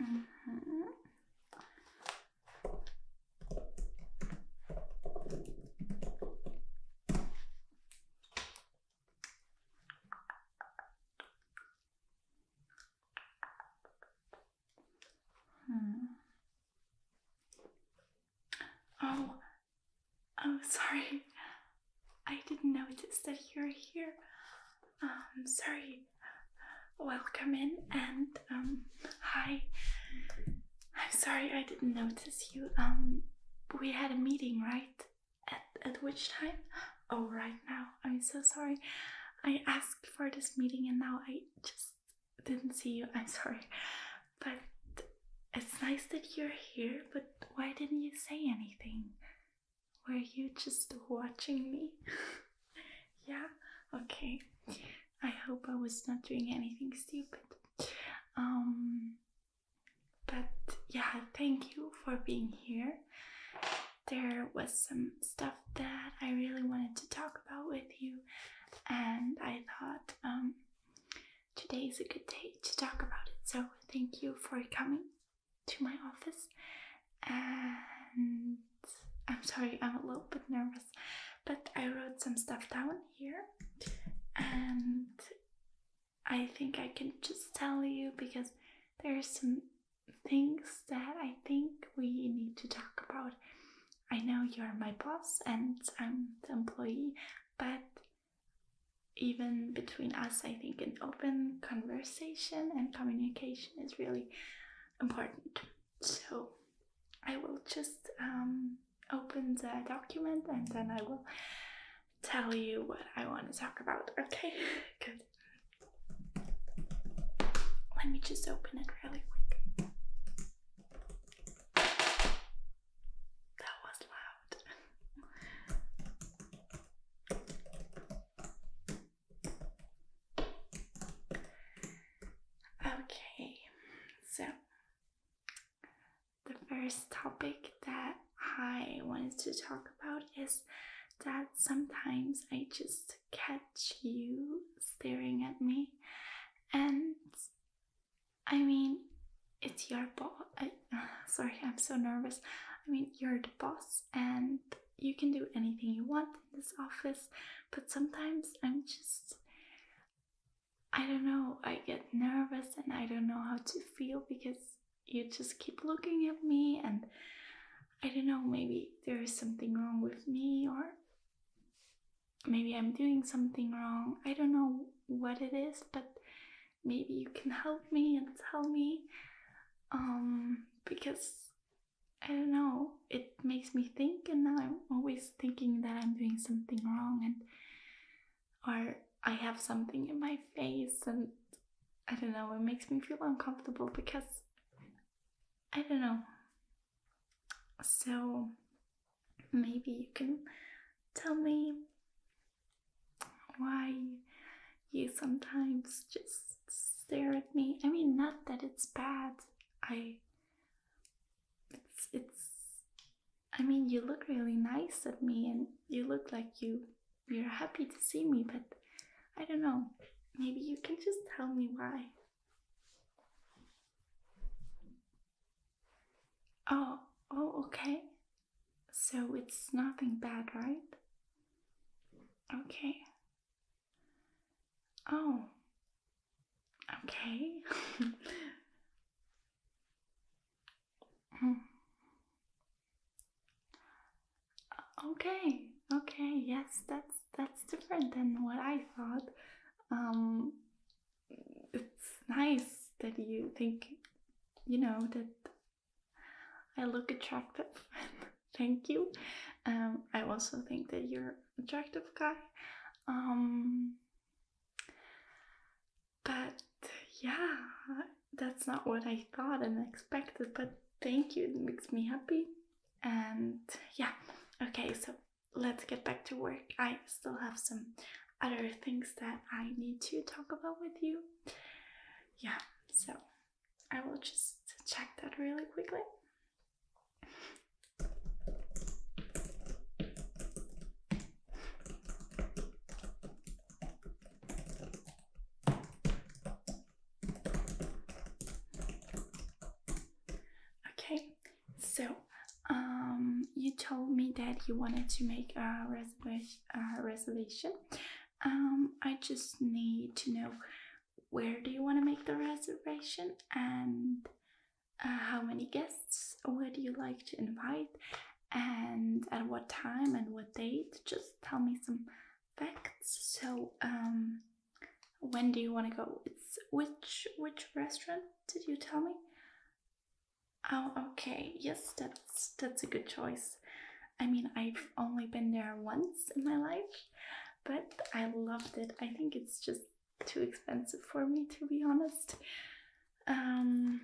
Mm. Mm -hmm. Hmm. Oh, oh, sorry. I didn't notice that you're here. Um, sorry. Welcome in and um, hi. I'm sorry I didn't notice you. Um, we had a meeting, right? At at which time? Oh, right now. I'm so sorry. I asked for this meeting and now I just didn't see you. I'm sorry. But it's nice that you're here, but why didn't you say anything? Were you just watching me? yeah? Okay. I hope I was not doing anything stupid. Um, but yeah, thank you for being here. There was some stuff that I really wanted to talk about with you, and I thought um, today is a good day to talk about it. So, thank you for coming to my office. And I'm sorry, I'm a little bit nervous, but I wrote some stuff down here, and I think I can just tell you because there are some things that I think we need to talk about I know you're my boss and I'm the employee, but even between us, I think an open conversation and communication is really important. So I will just um, open the document and then I will tell you what I want to talk about. Okay, good. Let me just open it really quick. That was loud. okay, so the first topic that I wanted to talk about is that sometimes I just catch you staring at me and I mean, it's your boss. Sorry, I'm so nervous. I mean, you're the boss, and you can do anything you want in this office, but sometimes I'm just. I don't know, I get nervous and I don't know how to feel because you just keep looking at me and I don't know, maybe there is something wrong with me or maybe I'm doing something wrong. I don't know what it is, but maybe you can help me and tell me. Um, because I don't know, it makes me think, and I'm always thinking that I'm doing something wrong, and or I have something in my face, and I don't know, it makes me feel uncomfortable because I don't know, so maybe you can tell me why you sometimes just stare at me. I mean, not that it's bad. I it's it's I mean, you look really nice at me and you look like you you're happy to see me, but I don't know. Maybe you can just tell me why. Oh, oh, okay. So it's nothing bad, right? Okay. Oh. Okay. Mm. okay, okay, yes, that's that's different than what I thought. Um, it's nice that you think, you know, that I look attractive. Thank you. Um, I also think that you're attractive guy. Um, but yeah, that's not what I thought and expected, but thank you, it makes me happy. And yeah, okay, so let's get back to work. I still have some other things that I need to talk about with you. Yeah, so I will just check that really quickly. Okay, so, um, you told me that you wanted to make a reservation. Um, I just need to know where do you want to make the reservation and uh, how many guests would you like to invite and at what time and what date. Just tell me some facts so um, when do you want to go? It's which which restaurant did you tell me? Oh, okay. Yes, that's that's a good choice. I mean, I've only been there once in my life, but I loved it. I think it's just too expensive for me to be honest. Um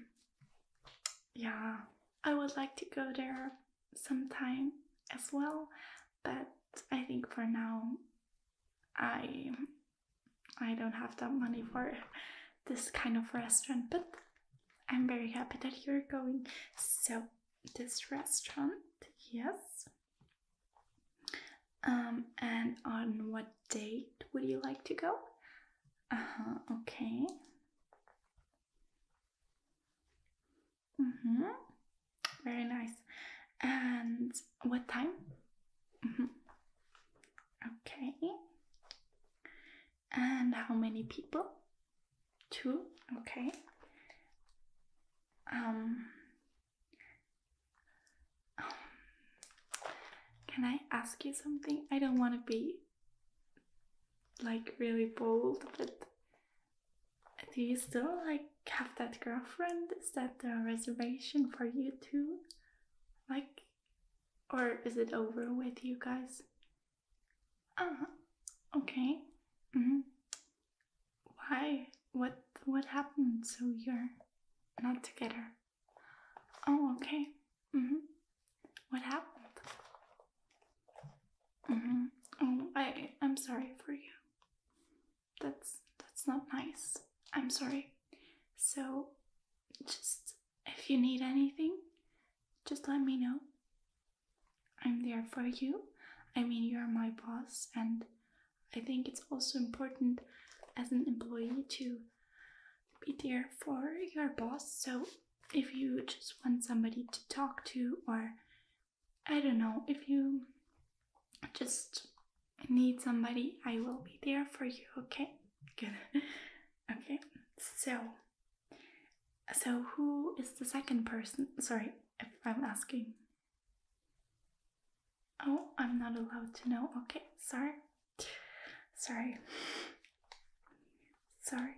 yeah, I would like to go there sometime as well, but I think for now I I don't have that money for this kind of restaurant, but I'm very happy that you're going. So this restaurant, yes. Um, and on what date would you like to go? Uh-huh, okay. Mm-hmm. Very nice. And what time? Mm -hmm. Okay. And how many people? Two. Okay. Um, um can I ask you something? I don't want to be like really bold, but do you still like have that girlfriend? Is that the reservation for you too? Like, or is it over with you guys? Uh huh. Okay. Mm hmm Why? What? What happened? So you're not together? Oh, okay. Mm hmm What happened? Mm hmm Oh, I. I'm sorry for you that's that's not nice. I'm sorry. So just if you need anything, just let me know. I'm there for you. I mean, you're my boss, and I think it's also important as an employee to be there for your boss. So, if you just want somebody to talk to, or I don't know if you just need somebody, I will be there for you, okay? Good. okay, so so who is the second person? Sorry if I'm asking. Oh, I'm not allowed to know. Okay, sorry. Sorry. Sorry.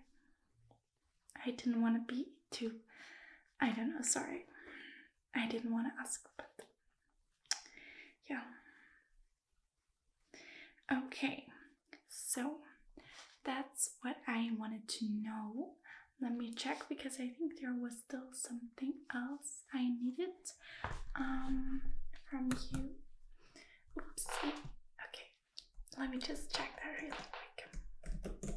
I didn't want to be too I don't know, sorry. I didn't want to ask, but yeah. Okay, so that's what I wanted to know. Let me check because I think there was still something else I needed um, from you. Oopsie. Okay, let me just check that real quick.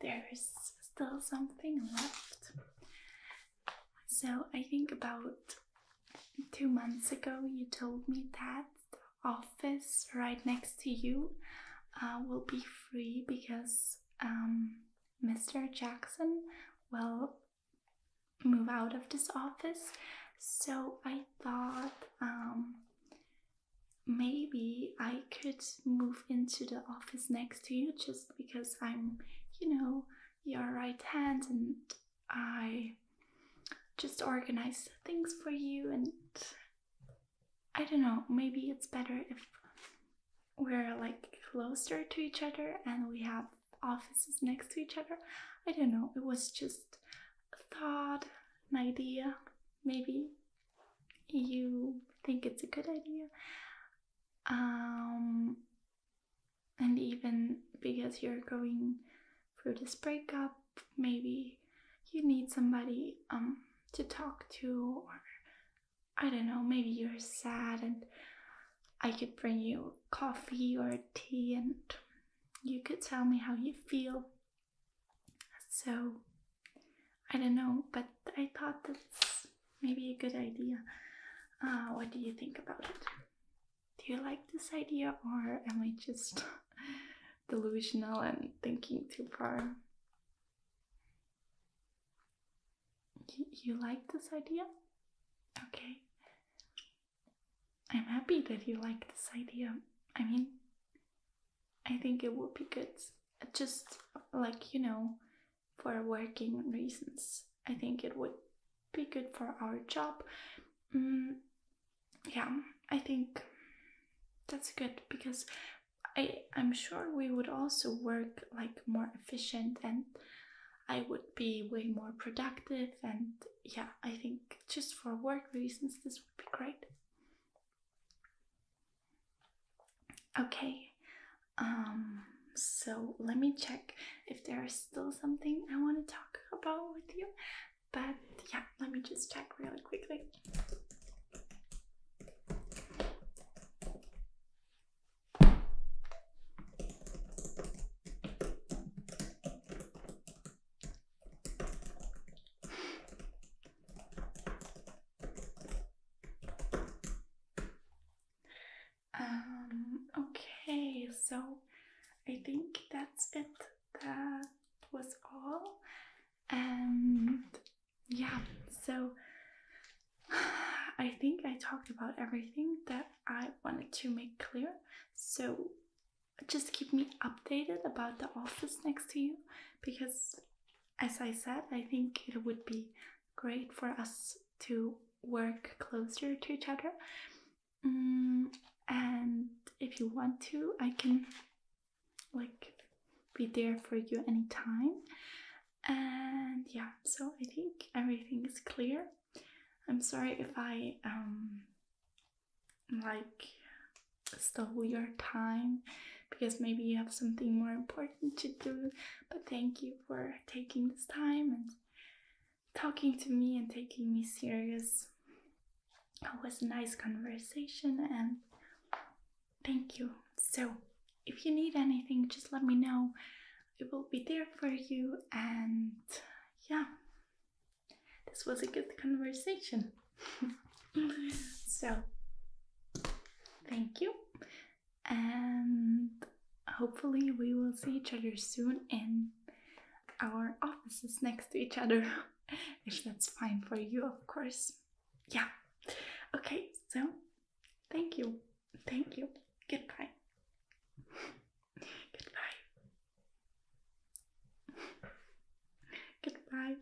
there's still something left. So I think about two months ago you told me that office right next to you uh, will be free because um, Mr. Jackson will move out of this office. So I thought um, maybe I could move into the office next to you just because I'm, you know, your right hand and I just organize things for you. And I don't know, maybe it's better if we're like closer to each other and we have offices next to each other. I don't know, it was just a thought, an idea, maybe you think it's a good idea um, and even because you're going through this breakup maybe you need somebody um, to talk to or i don't know maybe you're sad and i could bring you coffee or tea and you could tell me how you feel so I don't know, but I thought that's maybe a good idea. Uh, what do you think about it? Do you like this idea, or am I just delusional and thinking too far? Y you like this idea? Okay. I'm happy that you like this idea. I mean, I think it would be good just like you know, for working reasons. I think it would be good for our job. Mm, yeah, I think that's good because I I'm sure we would also work like more efficient and I would be way more productive and yeah, I think just for work reasons this would be great. Okay, um, so let me check if there is still something I want to talk about with you, but yeah, let me just check really quickly. Um, okay, so I think that's it. That was all. And yeah, so I think I talked about everything that I wanted to make clear. So just keep me updated about the office next to you because as I said, I think it would be great for us to work closer to each other. Mm, and if you want to, I can like be there for you anytime. And yeah, so I think everything is clear. I'm sorry if I um like stole your time because maybe you have something more important to do. But thank you for taking this time and talking to me and taking me serious. It was a nice conversation and thank you. So, if you need anything, just let me know. I will be there for you and yeah. This was a good conversation. so, thank you, and hopefully, we will see each other soon in our offices next to each other, if that's fine for you, of course. Yeah, okay, so thank you, thank you, goodbye. Goodbye. Goodbye.